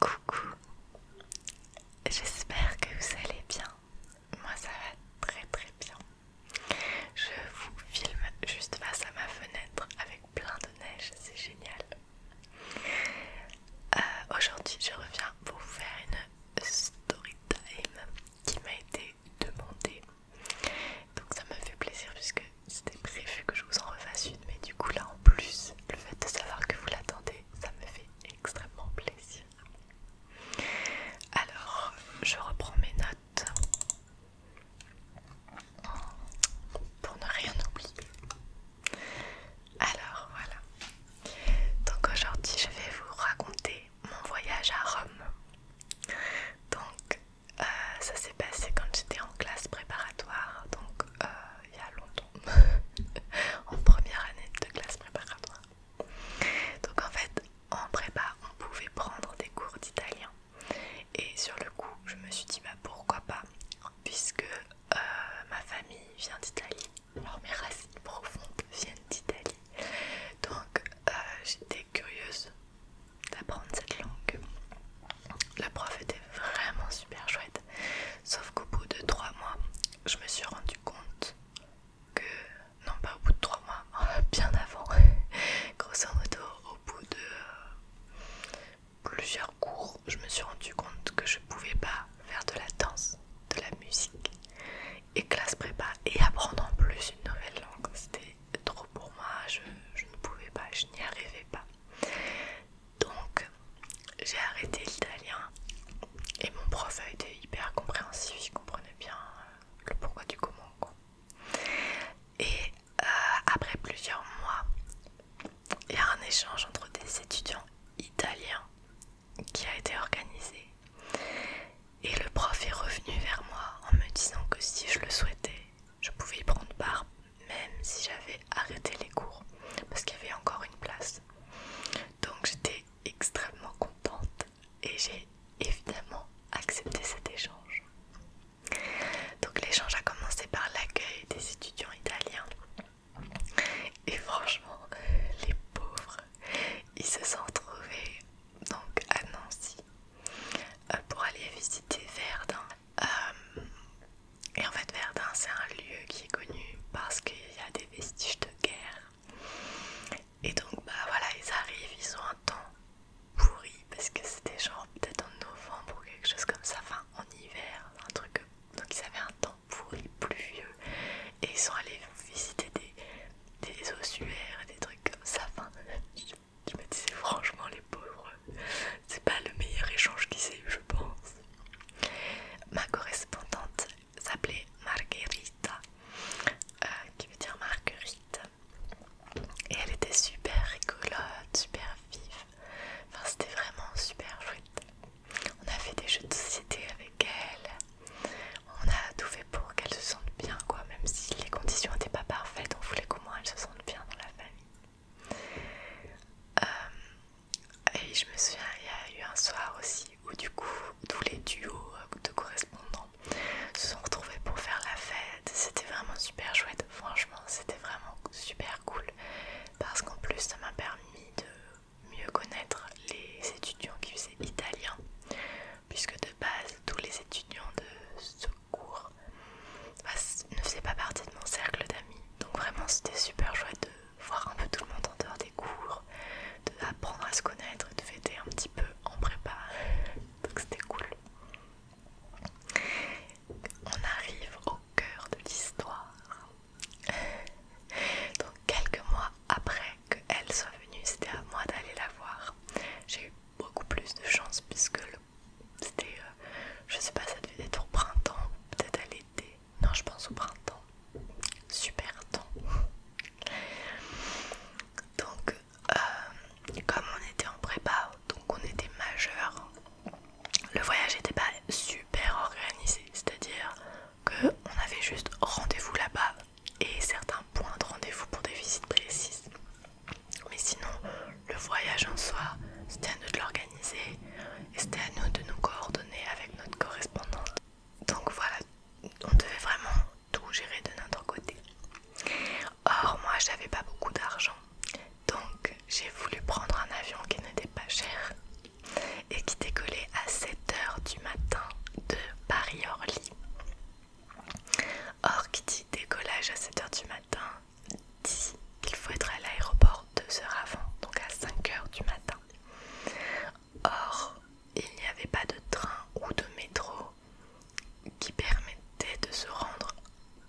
Coucou, j'espère que vous allez bien. Moi ça va très très bien. Je vous filme juste face à ma fenêtre avec plein de neige, c'est génial. Euh, aujourd'hui je reviens pour vous faire une story time qui m'a été demandé Donc ça me fait plaisir puisque c'était prévu que je vous en refasse une, mais du coup là en plus, le fait de savoir que vous l'attendez, ça me fait extrêmement plaisir. Alors, je reprends mes notes pour ne rien oublier. Alors voilà. Donc aujourd'hui, je vais vous raconter mon voyage à Rome. Donc euh, ça s'est passé quand j'étais en classe préparatoire, donc euh, il y a longtemps, en première année de classe préparatoire. Donc en fait, en prépa, on pouvait prendre des cours d'italien. Et sur le coup, je me suis dit bah pourquoi pas, puisque euh, ma famille vient d'Italie alors mes racines profondes viennent d'Italie. Donc euh, j'étais curieuse d'apprendre cette langue. La prof était vraiment super chouette. Sauf qu'au bout de trois mois, je me suis rendu compte que... Non pas au bout de trois mois, bien avant. Grosso modo, au bout de euh, plusieurs cours, je me suis rendu compte que je pouvais pas faire de la danse, de la musique et classe prépa et apprendre en plus une nouvelle langue. C'était trop pour moi, je, ne pouvais pas, je n'y arrivais pas. Donc j'ai arrêté l'italien et mon prof a été hyper compréhensif, il comprenait bien euh, le pourquoi du comment. Quoi. Et euh, après plusieurs mois, il y a un échange entre des étudiants italiens qui a été organisée. Et le prof est revenu vers moi en me disant que si je le souhaitais, je pouvais y prendre part même si j'avais arrêté les cours parce qu'il y avait encore une place. Donc j'étais extrêmement contente et j'ai évidemment accepté cet échange. Donc l'échange a commencé par l'accueil des étudiants italiens. Et franchement, les pauvres, ils se sont retrouvés donc à Nancy euh, pour aller visiter Verdun. Euh, et en fait, Verdun, c'est un lieu qui est connu parce qu'il y a des vestiges de guerre. Et donc, bah voilà, ils arrivent, ils ont un temps pourri parce que c'était genre peut-être en novembre ou quelque chose comme ça, enfin en hiver, un truc. Donc, ils avaient un temps pourri, pluvieux, et ils sont allés visiter des des ossuaires et des trucs comme ça. Enfin, je, me disais franchement les pauvres, c'est pas le meilleur échange qui s'est eu je pense. Ma correspondante s'appelait Marguerite, euh, qui veut dire marguerite. Et elle était super rigolote, super vive. Enfin, c'était vraiment super chouette. On a fait des jeux de société avec elle on a tout fait pour qu'elle se sente bien, quoi. Même si les conditions n'étaient pas parfaites, on voulait qu'au moins elles se sente bien dans la famille. Euh, et je me souviens, il y a eu un soir aussi où du coup tous les duos euh, de correspondants se sont retrouvés pour faire la fête. C'était vraiment super chouette, franchement, c'était vraiment super cool parce qu'en plus ça m'a permis de mieux connaître les étudiants qui faisaient italien, puisque de base, tous les étudiants de ce cours bah, ne faisaient pas partie de mon cercle d'amis. Donc vraiment, c'était super chouette de voir un peu tout le monde en dehors des cours, d'apprendre à se connaître, de fêter un petit peu en prépa. Donc c'était cool. On arrive au cœur de l'histoire. Donc quelques mois après qu'elle soit venue, c'était à moi d'aller la voir. J'ai eu beaucoup plus de chance puisque c'était, euh, je sais pas, ça devait être au printemps, peut-être à l'été. Non, je pense au printemps. Super temps. Donc, euh, comme on était en prépa, donc on était majeur, le voyage n'était pas super organisé, c'est-à-dire que on avait juste rendez-vous là-bas et certains points de rendez-vous pour des visites précises. Mais sinon, le voyage en soi, c'était à nous de l'organiser c'était à nous de nous coordonner avec notre correspondante. Donc voilà, on devait vraiment tout gérer de notre côté. Or, moi, j'avais pas beaucoup d'argent. Donc, j'ai voulu prendre un avion qui n'était pas cher et qui décollait à 7h du matin de Paris-Orly. Or, qui dit décollage à 7h du matin dit qu'il faut être à l'aéroport 2 h avant, donc à 5h du matin. Or, il n'y avait pas de train ou de métro qui permettait de se rendre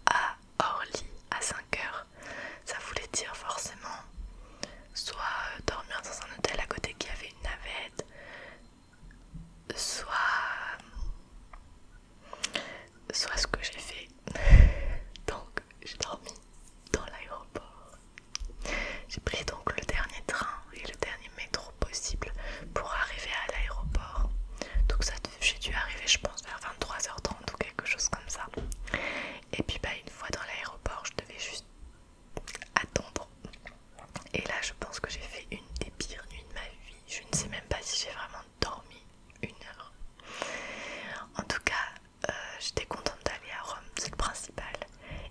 à Orly à 5h. Ça voulait dire forcément soit euh, dormir dans un hôtel à côté qui avait une navette, soit soit ce que j'ai fait donc j'ai dormi dans l'aéroport j'ai pris donc le dernier train et le dernier métro possible pour arriver à l'aéroport donc ça j'ai dû arriver je pense vers 23h30 ou quelque chose comme ça et puis bah une fois dans l'aéroport je devais juste attendre. Et là, je pense que j'ai fait une des pires nuits de ma vie. Je ne sais même pas si j'ai vraiment dormi une heure. En tout cas, euh, j'étais contente d'aller à Rome, c'est le principal.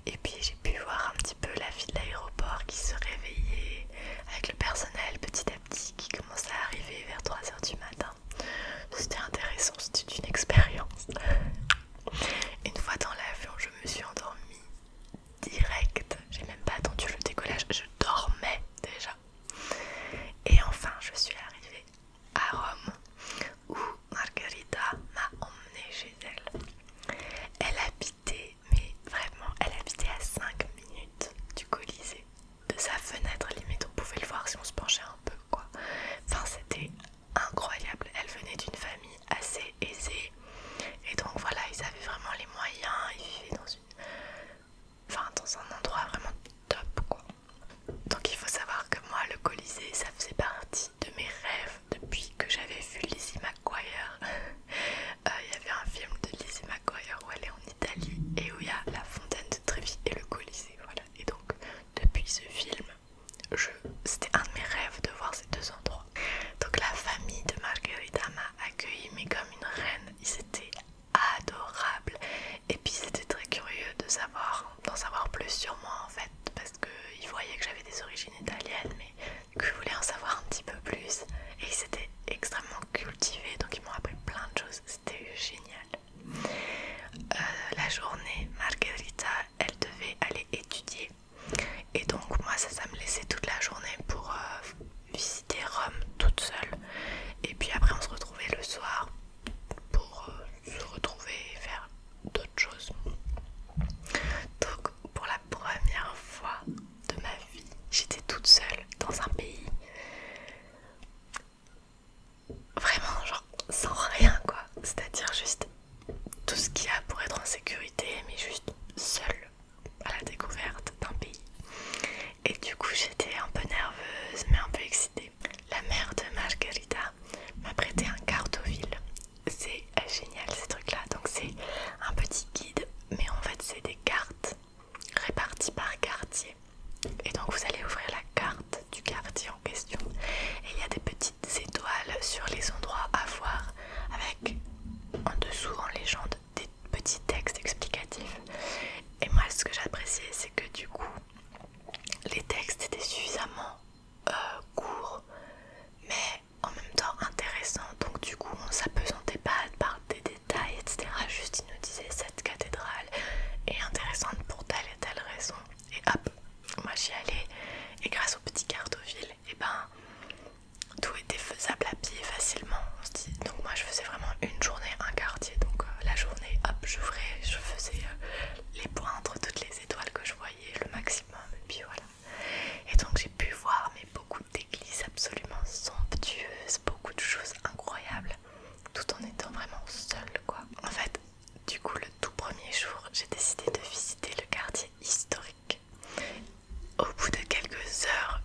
Et puis j'ai pu voir un petit peu la vie de l'aéroport qui se réveillait avec le personnel petit à petit qui commençait à arriver vers 3 heures du matin. C'était intéressant, c'était une expérience. Une fois dans l'avion, je me suis endormie direct. J'ai même pas attendu le décollage, je dormais déjà. Et enfin, je suis arrivée à Rome où Margherita m'a emmenée chez elle. Elle habitait, mais vraiment, elle habitait à 5 minutes du Colisée. De sa fenêtre, limite, on pouvait le voir si on se penchait un peu, quoi. Enfin, c'était incroyable. Elle venait d'une famille assez aisé et donc voilà ils avaient vraiment les moyens ils vivaient dans une dans un endroit vraiment top quoi donc il faut savoir que moi le Colisée ça faisait partie de mes rêves depuis que j'avais vu Lizzie McGuire euh, il y avait un film de Lizzie McGuire où elle est en Italie et où il y a la fontaine de Trévi et le Colisée voilà et donc depuis ce film c'était un de mes rêves de voir deux endroits. Donc la famille de Margherita m'a accueilli mais comme une reine, ils étaient adorables et puis c'était très curieux de savoir, d'en savoir plus sur moi en fait parce qu'ils voyaient que j'avais des origines italiennes mais qu'ils voulaient en savoir un petit peu plus et ils étaient extrêmement cultivés donc ils m'ont appris plein de choses, c'était génial. Euh, la journée, Margherita, elle devait aller étudier et donc moi ça, me laissait toute la journée pour euh, visiter Rome toute seule. Et puis après on se retrouvait le soir pour euh, se retrouver et faire d'autres choses. Donc pour la première fois de ma vie, j'étais toute seule dans un pays. Vraiment, genre sans rien quoi, c'est à dire juste tout ce qu'il y a pour être en sécurité, mais juste seule à la découverte d'un pays. Et du coup, j'étais un peu nerveuse, mais un peu excitée. La mère de Margarita m'a prêté un cartoville. C'est génial ces trucs-là. Donc, c'est un petit guide, mais en fait, c'est des cartes réparties par quartier. Et donc, vous allez ouvrir la carte du quartier en question. Et il y a des petites étoiles sur les endroits à voir avec en dessous en légende des petits textes explicatifs. Et moi ce que j'appréciais c'est que du coup les textes étaient suffisamment euh, courts mais en même temps intéressants. Donc du coup on s'apesantait pas par des détails etc. Juste ils nous disait cette cathédrale est intéressante pour telle et telle raison. Et hop, moi j'y allais et grâce au petit cartes et eh ben tout était faisable à pied facilement. Donc moi je faisais vraiment une journée, un quartier. Donc euh, la journée, hop, j'ouvrais, je faisais euh, les points entre toutes les étoiles que je voyais, le maximum. Et puis voilà. Et donc j'ai pu voir mais beaucoup d'églises absolument somptueuses, beaucoup de choses incroyables, tout en étant vraiment seule quoi. En fait, du coup le tout premier jour, j'ai décidé de visiter le quartier historique au bout de quelques heures,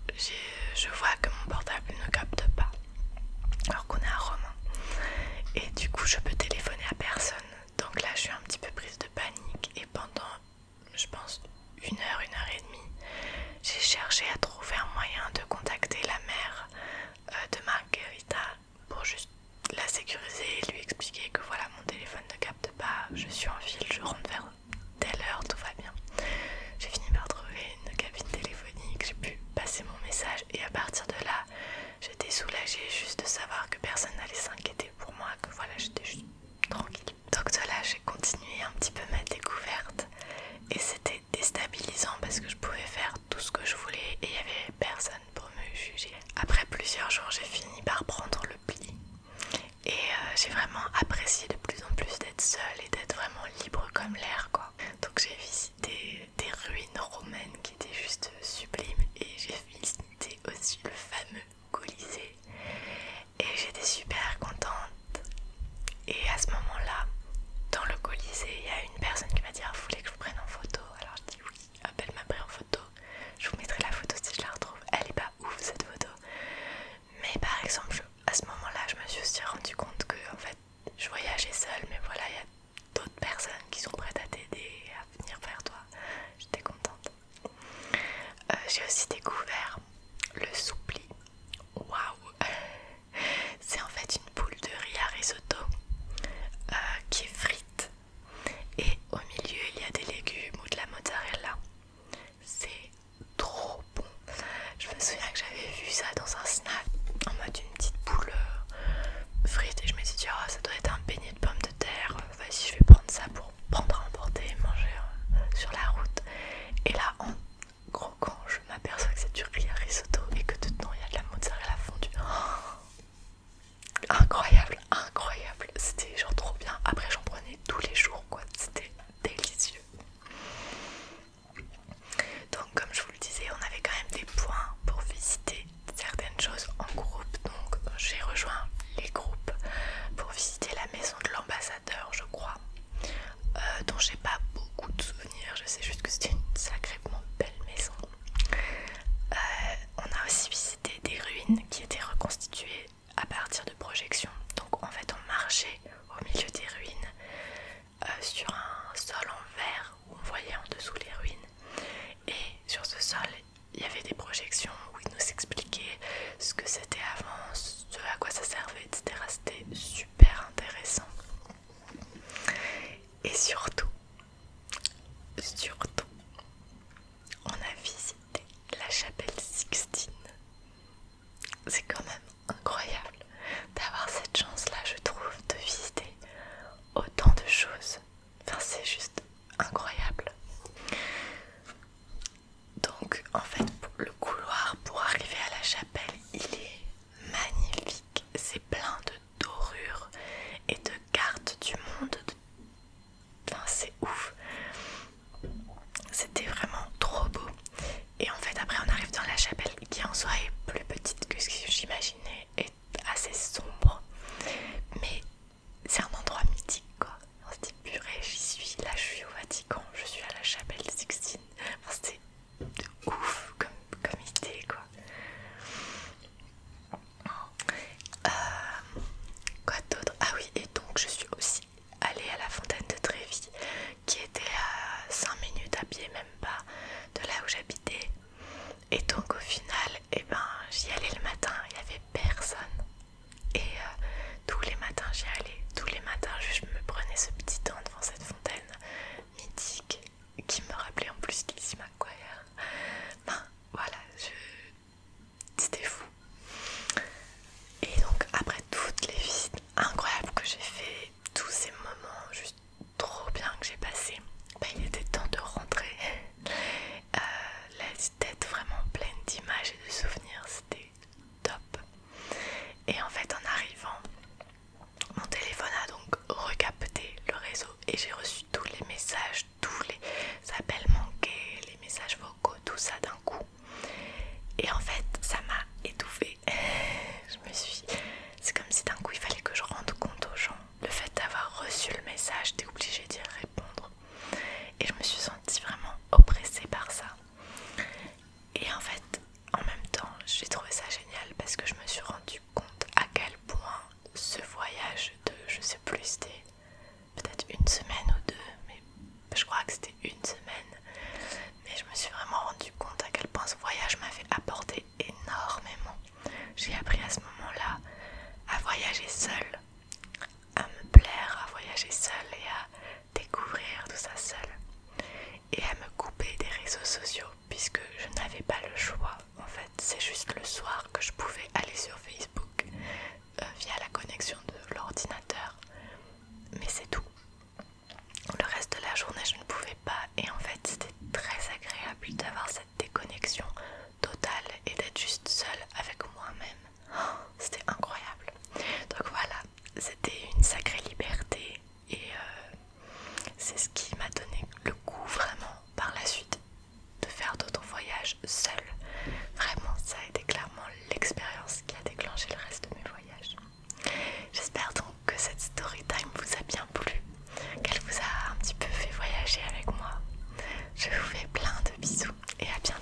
je vois que mon portable ne capte pas, alors qu'on est à Romain. Et du coup, je peux téléphoner à personne. Donc là, je suis un petit peu prise de panique. Et pendant, je pense, une heure, une heure et demie, j'ai cherché à trouver un moyen de contacter la mère euh, de Margherita pour juste la sécuriser et lui expliquer que voilà, mon téléphone ne capte pas, je suis en ville, je rentre vers telle heure, tout va bien. J'ai fini par trouver une cabine téléphonique, j'ai pu passer mon message et à partir de là, j'étais soulagée juste de savoir que personne n'allait s'inquiéter pour moi, que voilà, j'étais juste tranquille. Donc de là, j'ai continué un petit peu ma découverte et c'était déstabilisant parce que je pouvais faire tout ce que je voulais et il n'y avait personne pour me juger. Après plusieurs jours, j'ai fini par prendre le pli et euh, j'ai vraiment apprécié de plus en plus d'être seule et d'être vraiment libre comme l'air quoi. Donc j'ai visité des ruines romaines qui étaient juste sublimes et j'ai visité aussi le fameux Colisée et j'étais super contente et à ce moment là dans le Colisée il y a une personne qui m'a dit ah, vous voulez que je vous prenne en photo alors je dis oui, appelle m'a pris en photo je vous mettrai la photo si je la retrouve. Elle est pas ouf cette photo. Mais par exemple, à ce moment-là, je me suis aussi rendu compte que fait, je voyageais seule, mais voilà, il y a d'autres personnes qui sont prêtes à t'aider, à venir vers toi. J'étais contente. Euh, j'ai aussi découvert le soupli. Waouh! C'est en fait une boule de riz à risotto euh, qui est frite et au milieu il y a des légumes ou de la mozzarella c'est trop bon. Je me souviens que j'avais vu ça dans un snack en mode une petite boule euh, frite et je me suis dit, oh, ça doit être un beignet de pommes de terre. Vas-y, je vais prendre ça pour prendre à emporter et manger euh, sur la route. Et là, en croquant, je m'aperçois que c'est du riz à risotto et que dedans il y a de la mozzarella fondue. Oh, incroyable! incroyable, C'était genre trop bien. Après, j'en prenais tous les jours, quoi. C'était délicieux. Donc, comme je vous le disais, on avait quand même des points pour visiter certaines choses en groupe. Donc, j'ai rejoint les groupes pour visiter la maison de l'ambassadeur, je crois, euh, dont j'ai pas beaucoup de souvenirs. Je sais juste que c'était une sacrément belle maison. Euh, on a aussi visité des ruines qui étaient reconstituées à partir de projections. Donc en fait on marchait au milieu des ruines euh, sur un sol en verre où on voyait en dessous les ruines. Et sur ce sol il y avait des projections où ils nous expliquaient ce que c'était avant, ce à quoi ça servait, etc. C'était super intéressant. Et surtout, surtout, on a visité la chapelle Sixtine. C'est quand même incroyable d'avoir cette chance-là, je trouve, de visiter autant de choses. Enfin, c'est juste incroyable. Donc, en fait, le couloir pour arriver à la chapelle, il est magnifique. C'est plein de dorures et de cartes du monde, c'est ouf. C'était vraiment trop beau. Et en fait, après, on arrive dans la chapelle qui en soi est plus petite que ce que j'imaginais et assez sombre. Mais c'est un endroit mythique quoi. On se dit purée, j'y suis. Là, je suis au Vatican, je suis à la chapelle Sixtine. C'était ouf comme, idée quoi. Euh, quoi d'autre Ah oui, et donc je suis aussi aller à la fontaine de Trévis qui était à 5 minutes à pied, même pas, de là où j'habitais. Et donc au final, et eh ben, j'y allais le matin, il n'y avait personne. Et euh, tous les matins j'y allais, tous les matins je me prenais ce petit temps devant cette fontaine mythique qui me rappelait en plus qu'il McGuire. Ben voilà, je, c'était fou. Et donc après toutes les visites incroyables que j'ai fait, tous ces moments juste trop bien que j'ai passé, bah, il était temps de rentrer. Euh, la tête vraiment pleine d'images et de souvenirs, c'était top. Et en fait en arrivant, mon téléphone a donc recapté le réseau et j'ai reçu tous les messages, tous les appels manqués, les messages vocaux, tout ça d'un coup. Et en fait, ça m'a étouffée. je me suis. C'est comme si d'un coup il fallait que je rende compte aux gens. Le fait d'avoir reçu le message, t'es obligée d'y répondre. Et je me suis sentie vraiment oppressée par ça. Et en fait, en même temps, j'ai trouvé ça génial parce que je me suis rendue compte à quel point ce voyage de je sais plus, des peut-être une semaine ou deux, mais je crois que c'était une semaine. Mais je me suis vraiment rendu compte à quel point ce voyage m'avait apporté énormément. J'ai appris à ce moment-là à voyager seule, à me plaire, à voyager seule et à découvrir tout ça seule. Et à me couper des réseaux sociaux puisque je n'avais pas le choix. En fait, c'est juste le soir que je pouvais aller sur Facebook. Euh, via la connexion de l'ordinateur, mais c'est tout. Le reste de la journée, je ne pouvais pas, et en fait, c'était très agréable d'avoir cette déconnexion totale et d'être juste seule avec moi-même. Oh, c'était incroyable. Donc voilà, c'était une sacrée liberté, et euh, c'est ce qui m'a donné le goût vraiment par la suite de faire d'autres voyages seule. Vraiment, ça a été clairement l'expérience qui a déclenché le reste de mes voyages. J'espère donc que cette story time vous a bien plu, qu'elle vous a un petit peu fait voyager avec moi. Je vous fais plein de bisous et à bientôt.